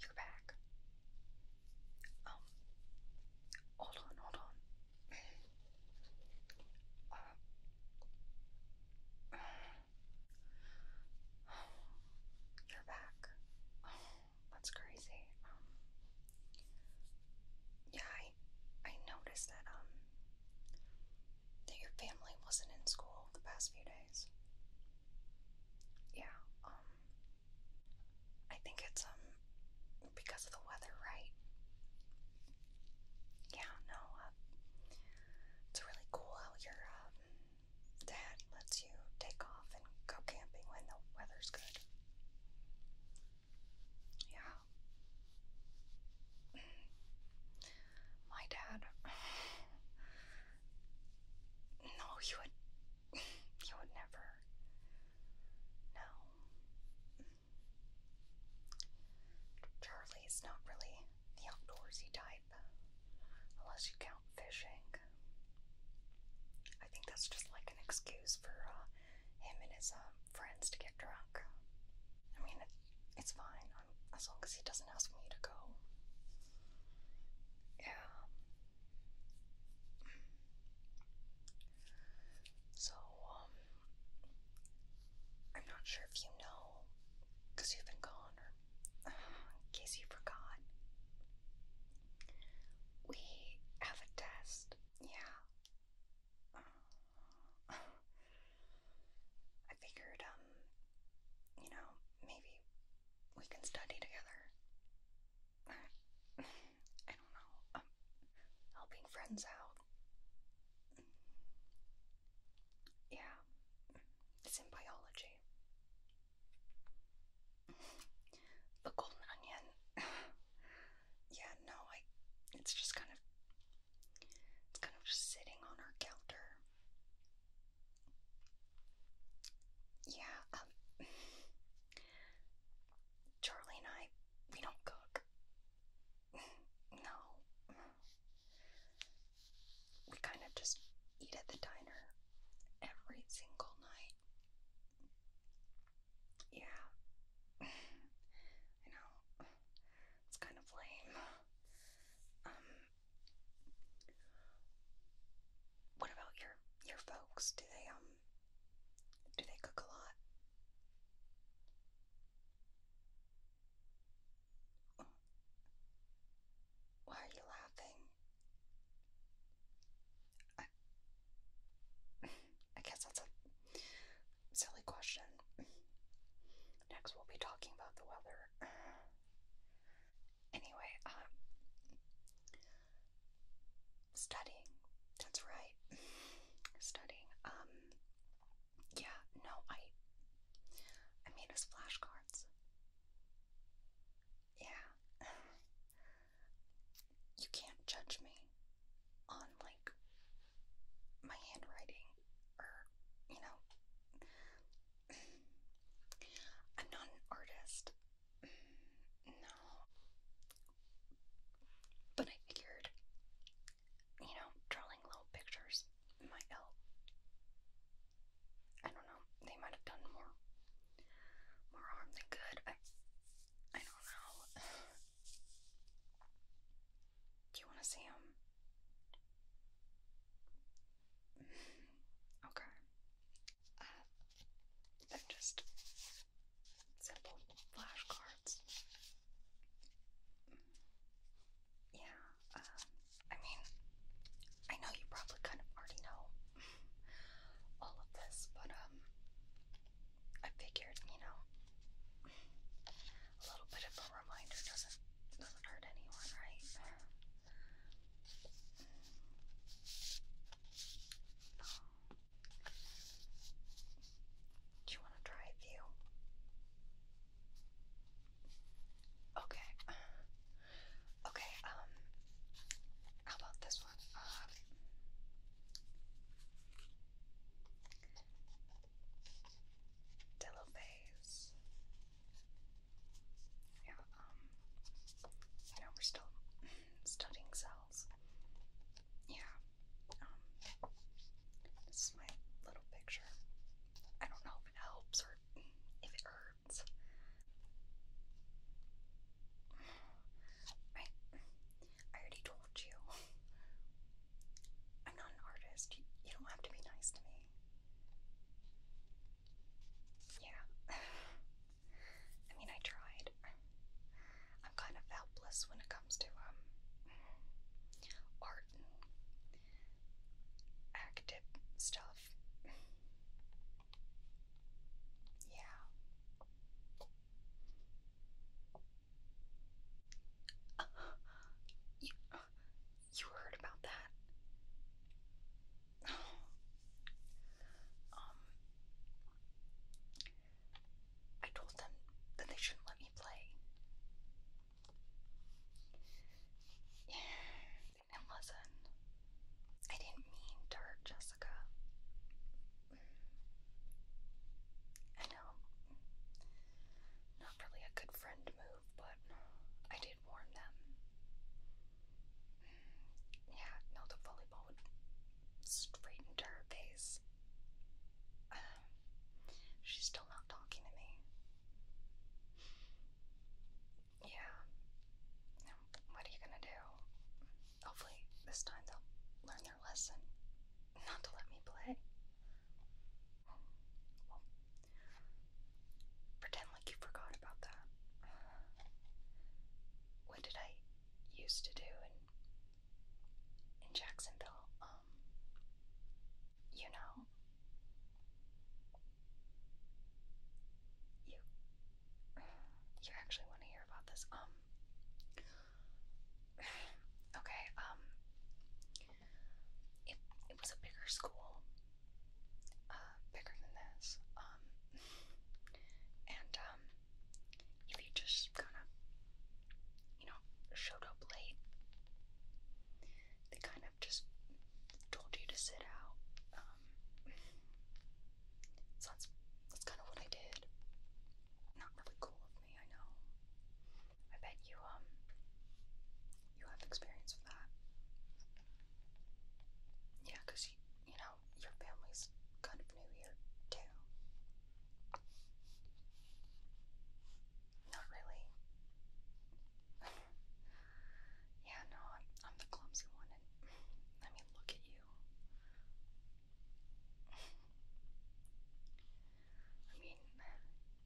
You're back. Um, hold on, hold on. Uh, you're back. that's crazy. Um, yeah, I I noticed that um that your family wasn't in school the past few days. Yeah, um I think it's um because of the weather, right? Yeah, no, uh, it's really cool how your um, dad lets you take off and go camping when the weather's good. Yeah. My dad no, you would. You would never. No. Charlie's not really the outdoorsy type, unless you count fishing. I think that's just like an excuse for uh, him and his uh, friends to get drunk. I mean, it's fine as long as he doesn't ask me to go. Yeah. So, um, I'm not sure if you know, because you've been gone, in case you forgot, we have a test. Yeah. I figured, um, you know, maybe we can study together. I don't know. Um, helping friends out. Yeah, it's in biology. the golden onion. yeah, no, I. It's just kind of. It's kind of just sitting on our counter. Yeah, um, Charlie and I, we don't cook. No. We kind of just eat at the diner every single night. Yeah. I know. It's kind of lame. Um, what about your your folks? Do they um do they cook a lot? Why are you laughing? I, I guess that's a silly question. Next, we'll be talking about the weather. Anyway, um, studying. That's right. studying. Um, yeah. No, I. I made us flashcards. Yeah. you can't judge me on like my handwriting or you know, I'm not an artist. No. But I figured, you know, drawing little pictures might help. I don't know. They might have done more, more harm than good. I, I don't know. Do you want to see them? Okay. Uh, just simple flashcards. Yeah, uh, I mean, I know you probably kind of already know all of this, but um, I figured, you know, a little bit of a reminder doesn't doesn't hurt anyone, right? Do you want to try a few? Okay. Okay, um, about this one? Um, uh, Delaphase yeah, you um, know, we're still studying cells. Yeah, um, this is my little picture. I don't know if it helps or if it hurts. I, I already told you. I'm not an artist. you don't have to be nice to me. Yeah. I mean, I tried. I'm kind of helpless when it comes to um art active stuff. Yeah. You heard about that? Um, I told them that they shouldn't let me play. Yeah, listen. I didn't mean to hurt Jessica. Mm. I know. Not really a good friend move move, but I did warn them. Yeah, no, the volleyball would straighten her face. Um, she's still not talking to me. Yeah. What are you gonna do? Hopefully, this time they'll learn their lesson. Not to let me play. Pretend like you forgot about that. What did I used to do in in Jacksonville? Um, you know, you you actually want to hear about this? Um, okay. Um, it it was a bigger school, uh, bigger than this. Um, and um, if you just kind of, you know, showed up late, they kind of just told you to sit out. Um, so that's that's kind of what I did. Not really cool of me, I know. I bet you um you have experience with that. Yeah, because you, you know, your family's kind of new here, too. Not really. yeah, no, I'm, I'm the clumsy one, and I mean, look at you. I mean,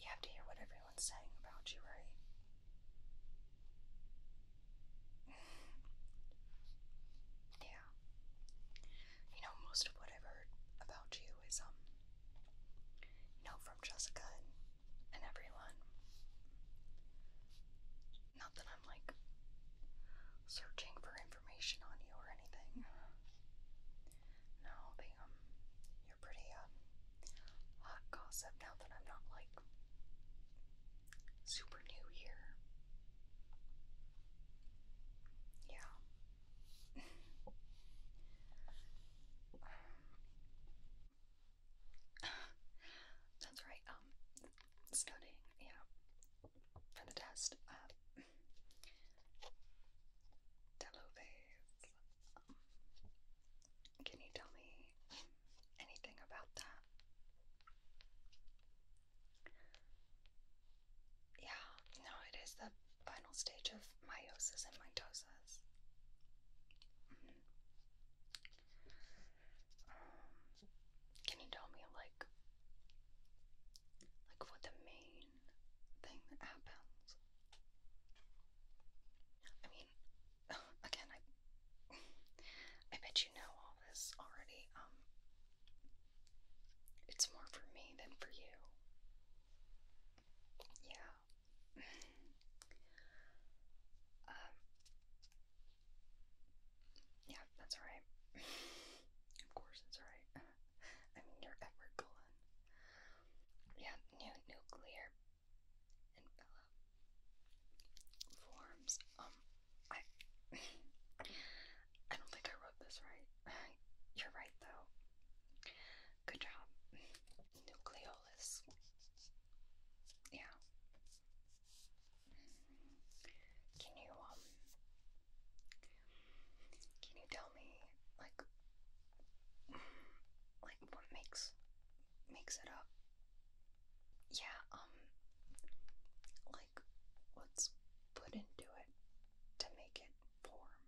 you have to hear what everyone's saying about you, right? yeah. You know, most of what I've heard about you is, um, you know, from Jessica and, everyone. Not that I'm like searching for information on you or anything. No, they, um, you're pretty, um, hot gossip now that I'm not like super new here. Yeah. That's right, um, studying, yeah, for the test. Uh, Delovez, can you tell me anything about that? Yeah, no, it is the final stage of meiosis and mitosis. Mm-hmm. can you tell me, like, like what the main thing that happens? I mean, again, I I bet you know all this already. Um, it's more for me than for you. Yeah. um. Yeah, that's alright. of course, it's alright. I mean, you're Edward Cullen. Yeah, nuclear and forms. Um, I, I don't think I wrote this right. You're right though. Good job. Nucleolus. Yeah. Can you um? Can you tell me like, like what makes mix it up. Yeah, um, like what's put into it to make it form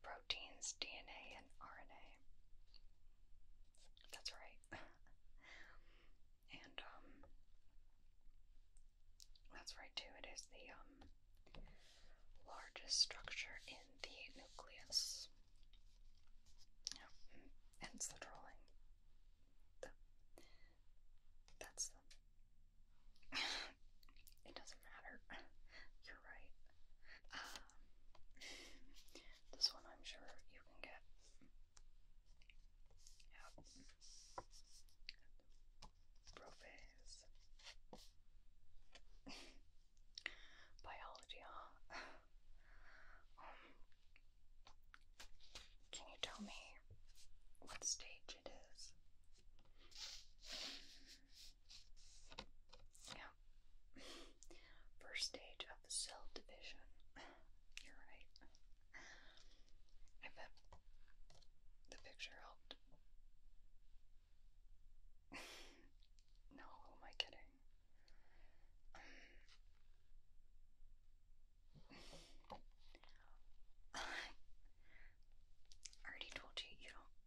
proteins, DNA, and RNA. That's right. and, um, that's right too. It is the, um, largest structure in the nucleus. Yeah, hence the trolling. that's the. it doesn't matter. You're right. Um, this one I'm sure you can get. Yeah. Profes. Biology, huh? can you tell me what stage it is? Yeah. First stage of cell division. You're right. I bet the picture helped. no, am I kidding? Um, I already told you, you don't.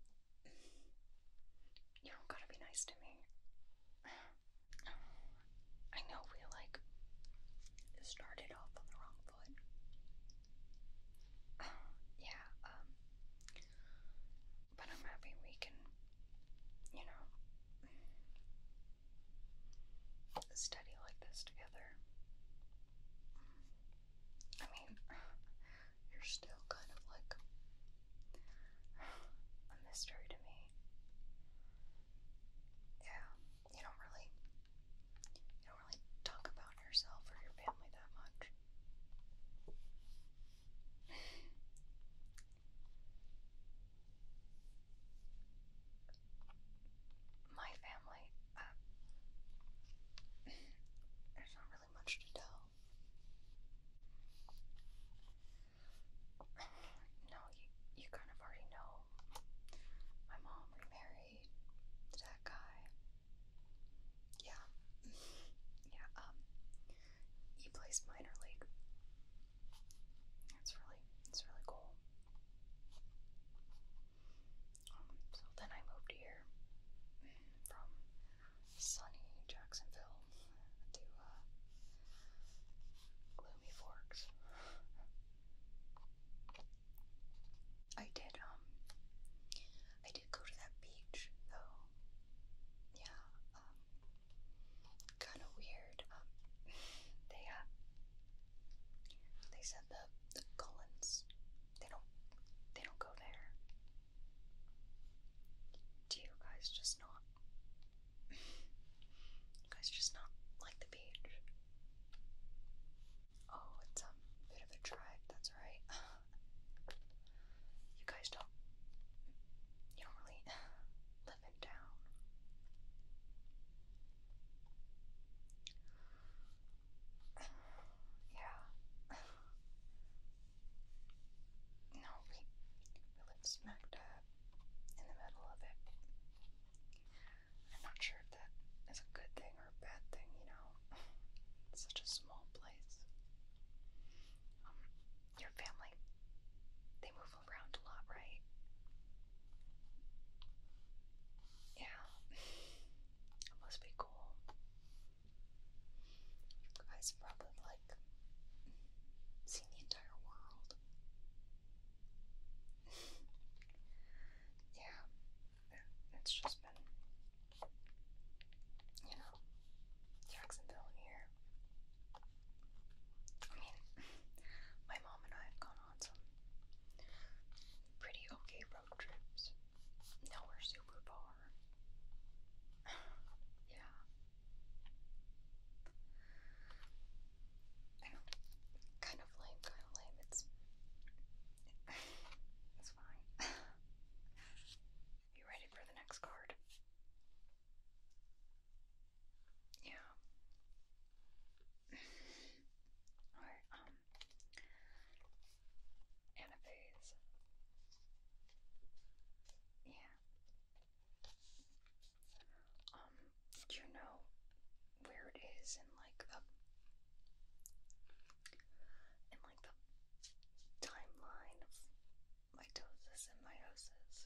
You don't gotta be nice to me. I know we like started off on the wrong foot. yeah, um, but I'm happy we can you know, study like this together. I mean, you're still kind of like a mystery to me. Yeah, you don't really, you don't really talk about yourself or your family that much. My family, um, there's not really much to tell. No, you, you kind of already know. My mom remarried to that guy. Yeah. yeah, um, he plays minor league it's really, it's really cool. Um, so then I moved here from sunny Jacksonville to uh, gloomy Forks. I did, um, I did go to that beach though. Yeah, kind of weird. Um, they uh, they said the the Cullens they don't they don't go there. Do you guys just not? you guys just not like the beach? Oh, it's um, bit of a drive. That's alright. you guys don't. You don't really yeah. no, we, we lived smack dab in the middle of it. I'm not sure if that is a good thing or bad thing, you know. It's such a small place. Um, your family, they move around a lot, right? Yeah, it must be cool. You guys probably like seen the entire world. yeah, it's just been, you know, Jacksonville here. I mean, my mom and I have gone on some pretty okay road trips. Nowhere super far. yeah. I know. Kind of lame, kind of lame. It's. it's fine. you ready for the next card? Yeah. or um anaphase. Yeah. Um, do you know where it is in like the in like the timeline of mitosis and meiosis.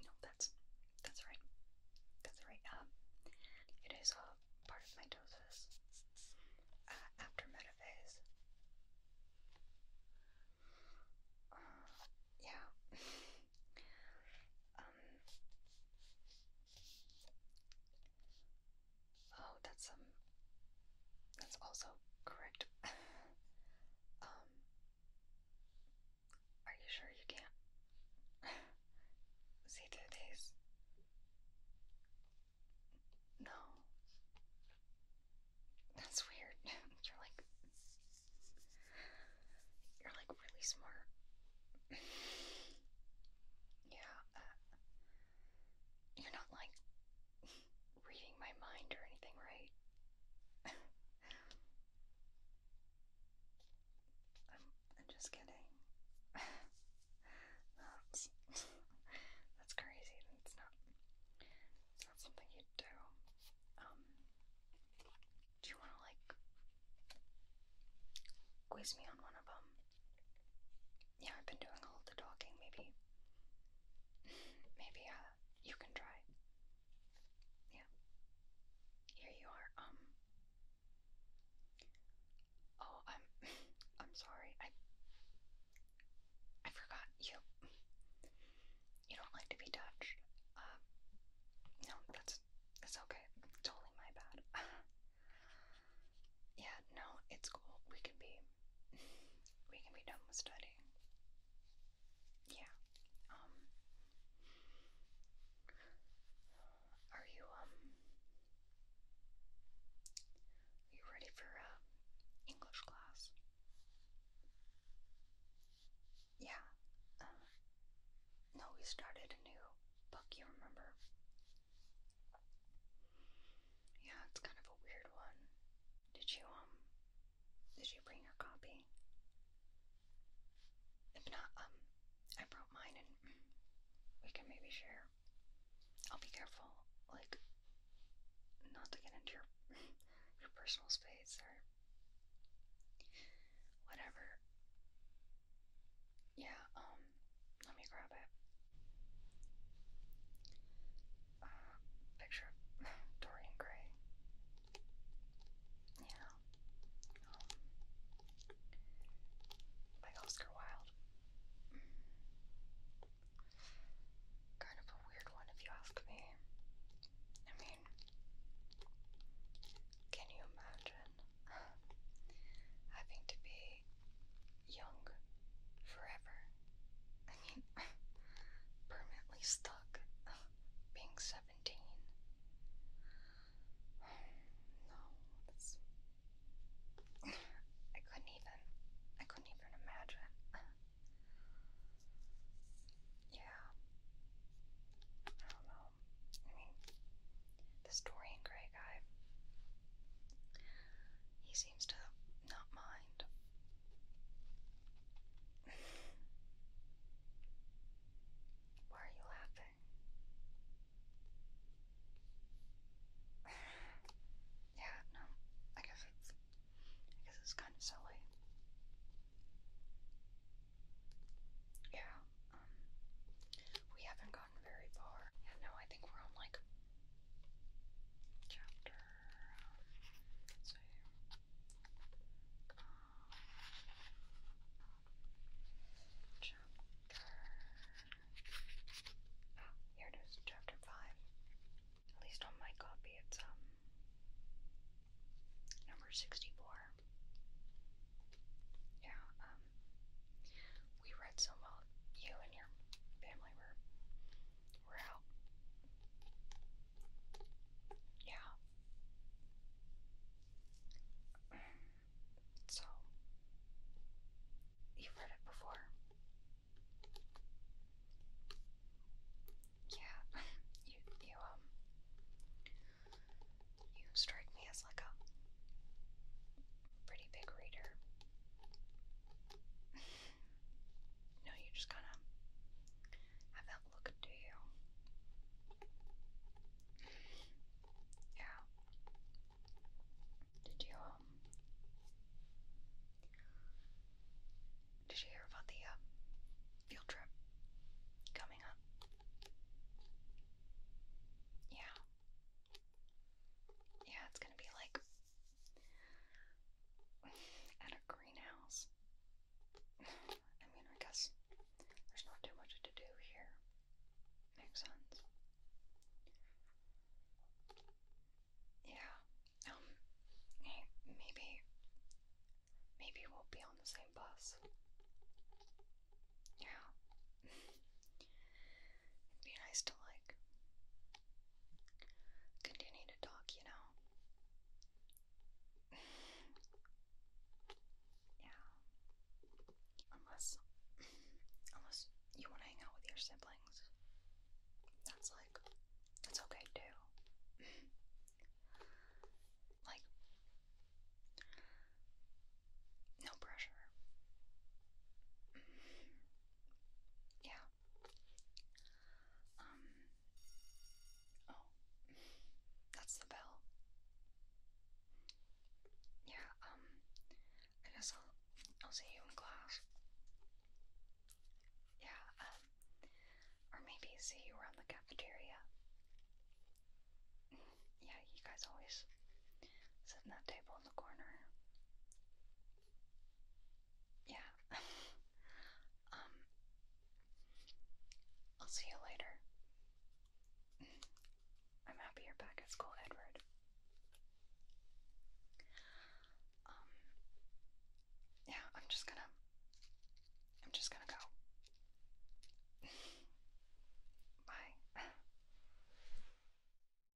No, that's that's right. That's right. Um, it is a part of mitosis uh, after metaphase. Uh, yeah. Um, Oh, that's um that's also correct. um Are you sure you can't see through these? No. That's weird. you're like you're like really smart. yeah, uh, you're not like reading my mind or anything, right? I'm, I'm just kidding. that's, that's crazy. That's not, it's not something you do. Um, do you want to like quiz me on one of them? Yeah, I've been doing all the talking. Maybe, maybe uh, you can try. Yeah. Here you are. Um. Oh, I'm. I'm sorry. I. I forgot you. You don't like to be touched. Uh. No, that's that's okay. Totally my bad. Yeah, no, it's cool. We can be we can be done with studying. Yeah. Um Are you um Are you ready for uh, English class? Yeah. Uh, no, we started a new book, you remember? Yeah, it's kind of a weird one. Did you, um, did you bring your copy? If not, um, I brought mine and we can maybe share. I'll be careful, like, not to get into your, your personal space or whatever. Yeah, um, let me grab it. Uh, picture of Dorian Gray. Yeah. Um, by Oscar Wilde. Mm. Kind of a weird one, if you ask me. I mean, can you imagine having to be young forever. I mean, permanently stuck being 17. No, that's. I couldn't even. I couldn't even imagine. Yeah. I don't know. I mean, the story in Grey Guy he seems to not mind. Why are you laughing? yeah, no, I guess it's, I guess it's kind of silly. Yeah, um, we haven't gotten very far. Yeah, no, I think we're on like chapter. let's see. chapter. Ah, here it is, chapter 5. At least on my copy, it's um number 64. Yeah, um, we read so well. You and your family were were out. Yeah. So you've read it before. Yeah, you you um you strike me as like a pretty big reader no, you just kind of have that look to you. Yeah. Did you um? Did you hear about the uh, field trip coming up? Yeah. Yeah, it's gonna be like at a greenhouse. I mean, I guess there's not too much to do here. Makes sense. Yeah. Um. Hey, maybe. Maybe we'll be on the same bus. Yeah. It'd be nice to like continue to talk, you know. yeah. Unless unless you want to hang out with your siblings. That's like that's okay too. like no pressure. Yeah. Um. Oh, that's the bell. Yeah. Um. I guess I'll I'll see you in class. Yeah. Um. Or maybe see you around the cafeteria. Yeah, you guys always sit in that table in the corner. Yeah. um I'll see you later. I'm happy you're back at school, Edward. Um Yeah, I'm just gonna I'm just gonna go. Bye.